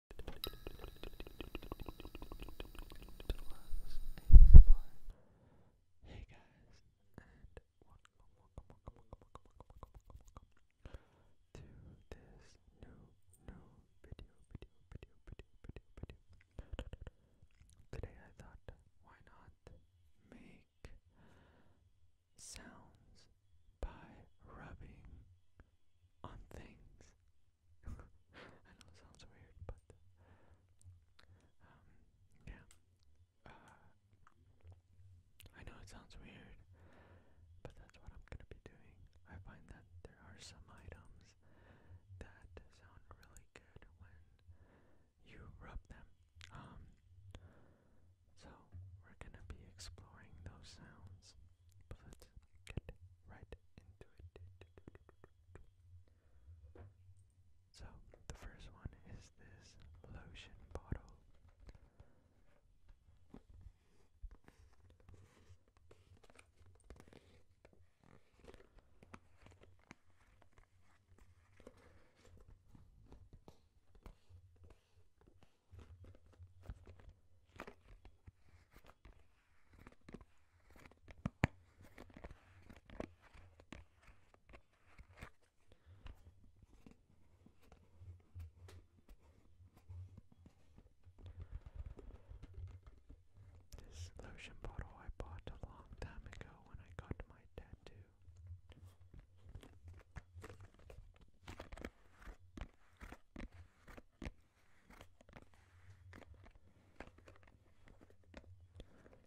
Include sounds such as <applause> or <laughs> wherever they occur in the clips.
Hey guys, and welcome, welcome, welcome, welcome, welcome, welcome, welcome, welcome to this new, new video, video, video, video, video, video. Today I thought, why not make sounds by rubbing on things. <laughs> I know it sounds weird, but um, yeah. Uh, I know it sounds weird, but that's what I'm gonna be doing. I find that there are some items that sound really good when you rub them. Um, so we're gonna be exploring those sounds but let's get right into it. So, the first one is this lotion bottle. This lotion bottle I bought a long time ago when I got my tattoo.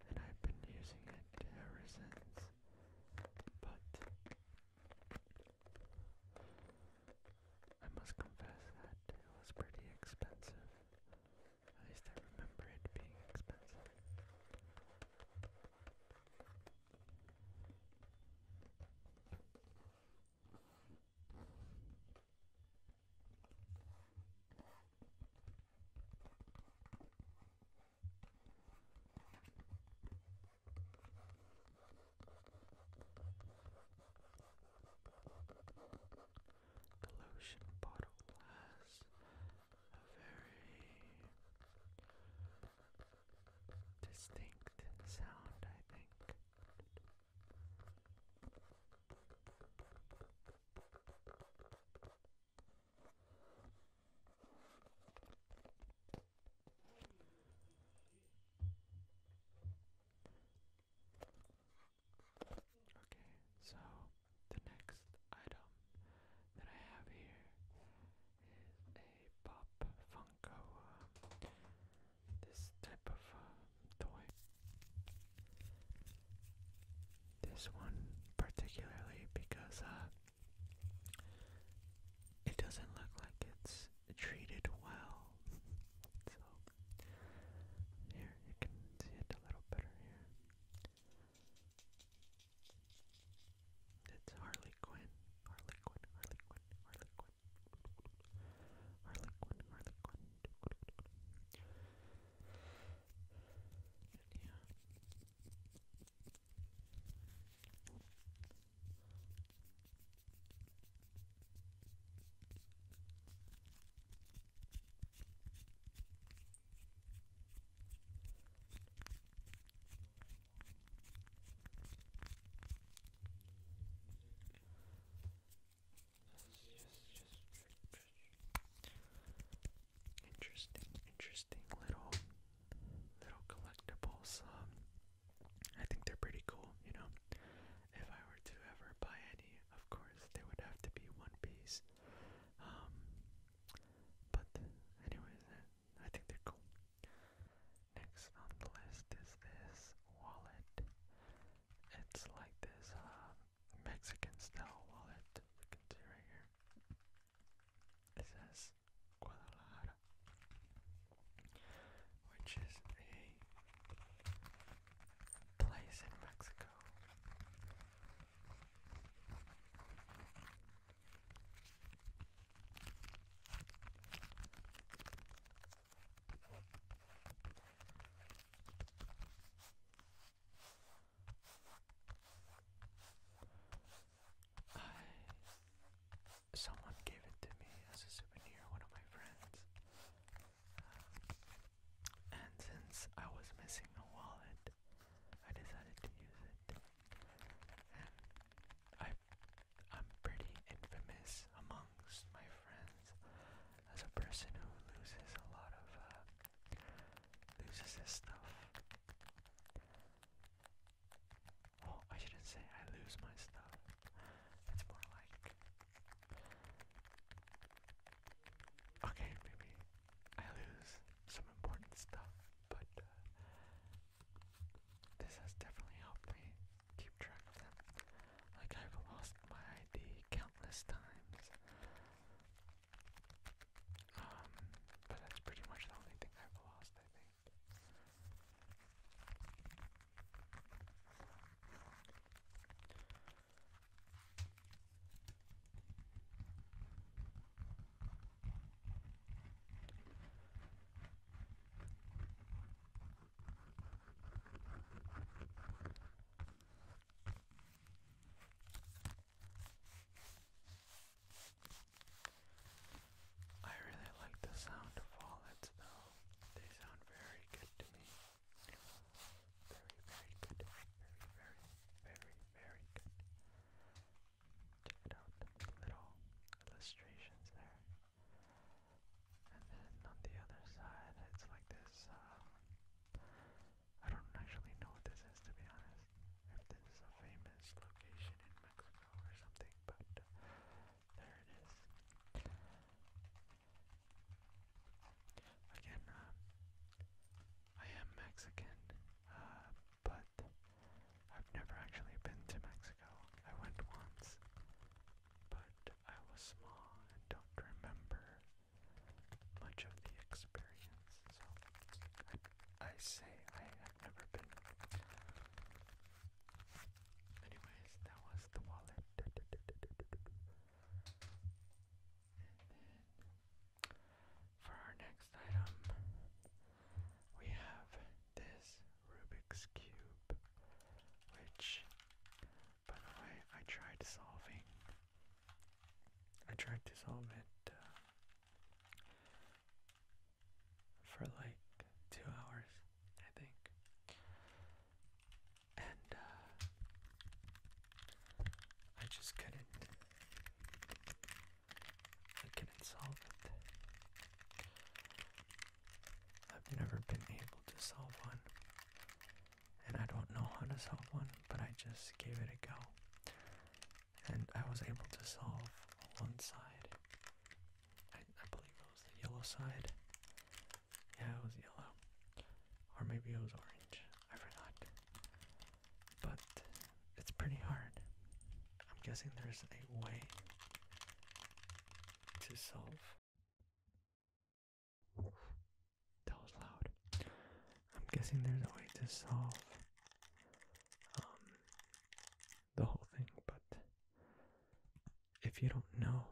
And I've been using it ever since. But I must confess that it was pretty expensive. At least I remember it being expensive. The lotion bottle has a very distinct sound, I think. Okay, so the next item that I have here a pop Funko, uh, this type of uh, toy. This one particularly because uh, it doesn't look like it's treated well. <laughs> so here you can see it a little better here. It's Harley Quinn. Harley Quinn. Harley Quinn. Harley Quinn. Harley Quinn. Harley Quinn interesting, interesting little little collectibles. Um, I think they're pretty cool. You know, if I were to ever buy any, of course, they would have to be One Piece. Um, but anyways, I think they're cool. Next on the list is this wallet. It's like this um, Mexican style wallet. You can see right here. It says Guadalajara, which is a place in Mexico. I someone gave it to me as a souvenir, one of my friends. Um, and since I was missing a wallet, I decided to use it. And I, I'm pretty infamous amongst my friends as a person who loses a lot of, uh, loses this stuff. Well, I shouldn't say I lose my stuff. It's more like... Okay, maybe I lose some important stuff but uh, this has definitely helped me keep track of them. Like, I've lost my ID countless times. Um, but that's pretty much the only thing I've lost, I think. I really like the sound of wallets though. They sound very good to me. Very, very good. Very, very, very, very good check it out, little illustrations there. And then on the other side, it's like this, um, I don't actually know what this is to be honest, if this is a famous location in Mexico or something, but uh, there it is. Again, uh, I am Mexican, uh, but I've never actually been to Mexico. I went once, but I was small and don't remember much of the experience. So I, say I have never been. Anyways, that was the wallet. For our next item, we have this Rubik's Cube, which, by the way, I tried solving. I tried to solve it uh, for like two hours, I think. And uh, I just couldn't I couldn't solve it. I've never been able to solve one. And I don't know how to solve one, but I just gave it a go. And I was able to solve one side. I, believe it was the yellow side. Yeah, it was yellow. Or maybe it was orange. I forgot but it's pretty hard. I'm guessing there's a way to solve. That was loud. I'm guessing there's a way to solve um, the whole thing, but if you don't know,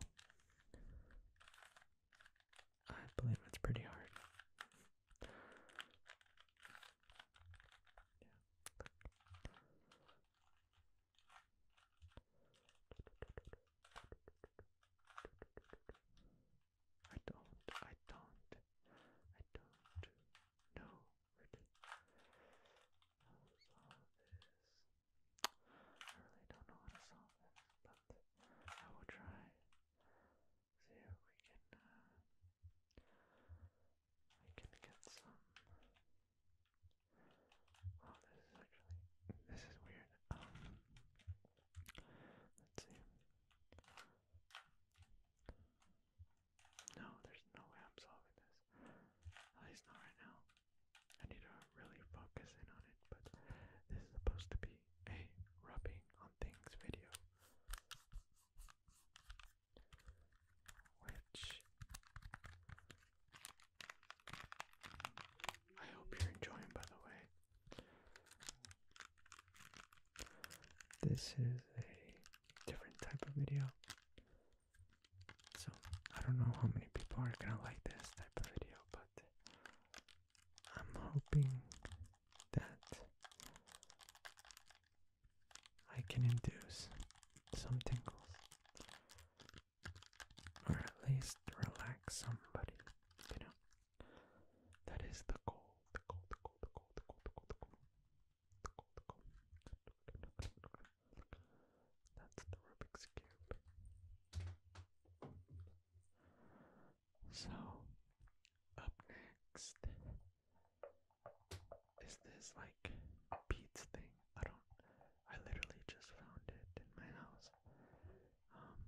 I believe it's pretty hard. I don't, I don't, I don't know where to solve this. I really don't know how to solve this, but I will try see if we can uh, we can get some Oh this is actually this is weird. Um let's see. No, there's no way I'm solving this. At least not right now. I need to really focus in on it, but this is supposed to be a rubbing on things video, which I hope you're enjoying, by the way. This is a different type of video. So, I don't know how many people are gonna like this type of video, but I'm hoping that I can induce some tingles or at least relax somebody, you know. That is the goal, the goal, the goal, the goal, the goal, the goal, the goal, the goal, the goal. That's the Rubik's Cube. So, next is this like beats thing. I don't, I literally just found it in my house. Um,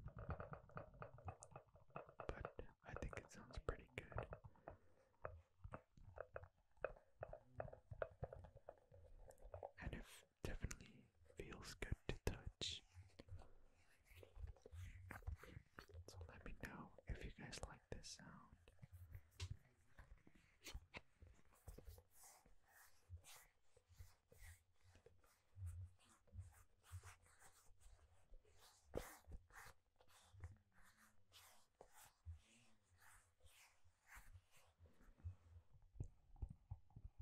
but I think it sounds pretty good. And if definitely feels good to touch. So let me know if you guys like this sound.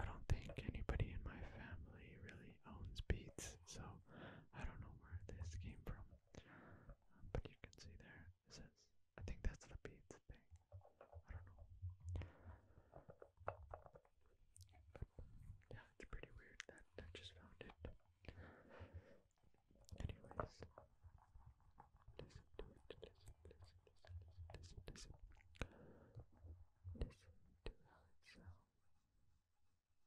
I don't think anybody in my family really owns beats this, so I don't know where this came from. but you can see there, it says, I think that's the beads thing. I don't know. yeah, it's pretty weird that I just found it. Anyways, listen to it, listen, listen, listen, listen, listen. Listen to it sounds.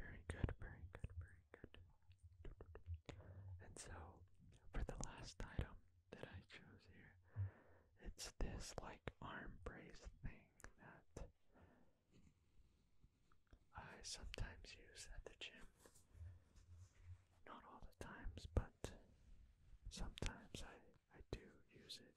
Very good, very good, very good. And so, for the last item that I chose here, it's this like arm brace thing that I sometimes use at the gym. Not all the times, but sometimes I, I do use it.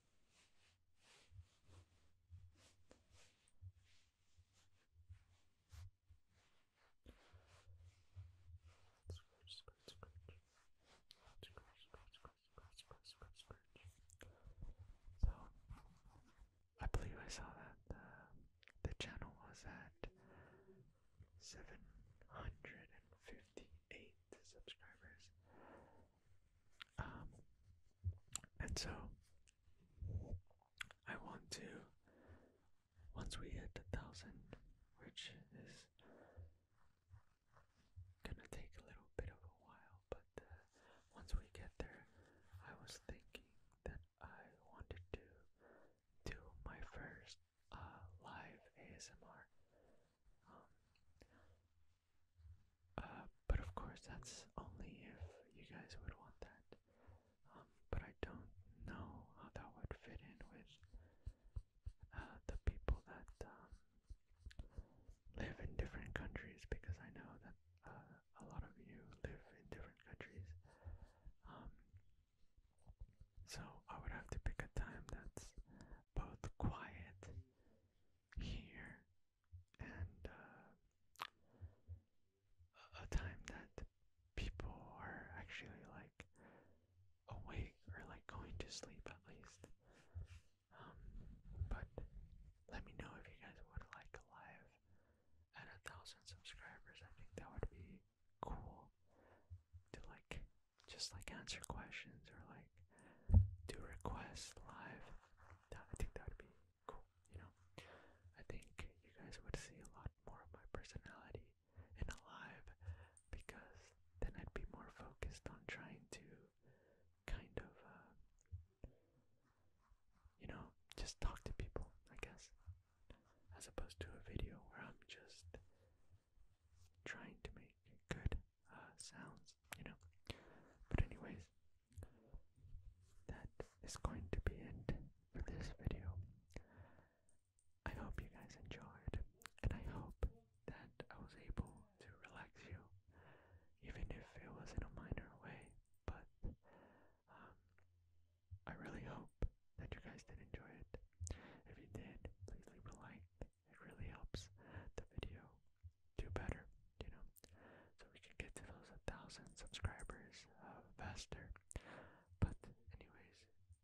So, I believe I saw that the, uh, the channel was at 758 subscribers. Um, and so I want to, once we hit a thousand, which is gonna take a little bit of a while, but uh, once we get there, I was thinking that I wanted to do my first uh, live ASMR. Um, uh, but of course, that's only if you guys would want that. Um, but I don't know how that would fit in with uh, the people that um, live in different countries because I know that uh, a lot of you live in different countries. Um, so I would have to pick a time that's both quiet here and uh, a time that people are actually like awake or like going to sleep at least. Um, but let me know if you guys would like a live at a thousand subscribers. I think that would be cool to like just like answer questions or like do requests live. I think that would be cool, you know. I think you guys would see a lot more of my personality in a live because then I'd be more focused on trying to kind of, uh, you know, just talk to people, I guess, as opposed to a video where I'm just trying to make good uh, sounds, you know. But anyways, that is going to be it for this video. I hope you guys enjoyed, and I hope that I was able to relax you, even if it was in a minor way. But um, I really hope that you guys did enjoy it. If you did, please leave a like it really helps the video do better, you know. So we can get to those a thousand subscribers uh, faster. But anyways,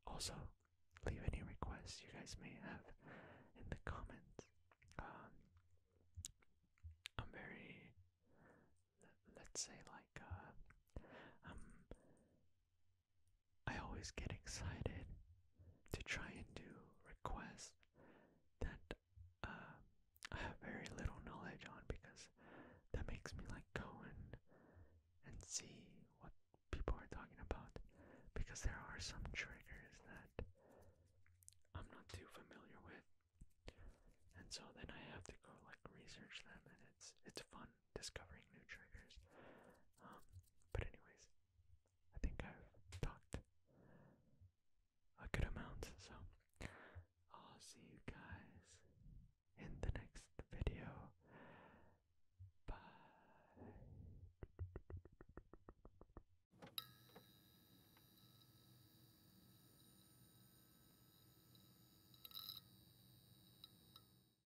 also leave any requests you guys may have in the comments. Um, I'm very, let's say like, uh, um, I always get excited to try and do requests that um, I have very little knowledge on because that makes me like go and and see what people are talking about because there are some triggers that I'm not too familiar with and so then I have to go like research them and it's it's fun discovering new triggers. Um, but anyways, I think I've talked a good amount, so I'll see you guys in the next video. Bye.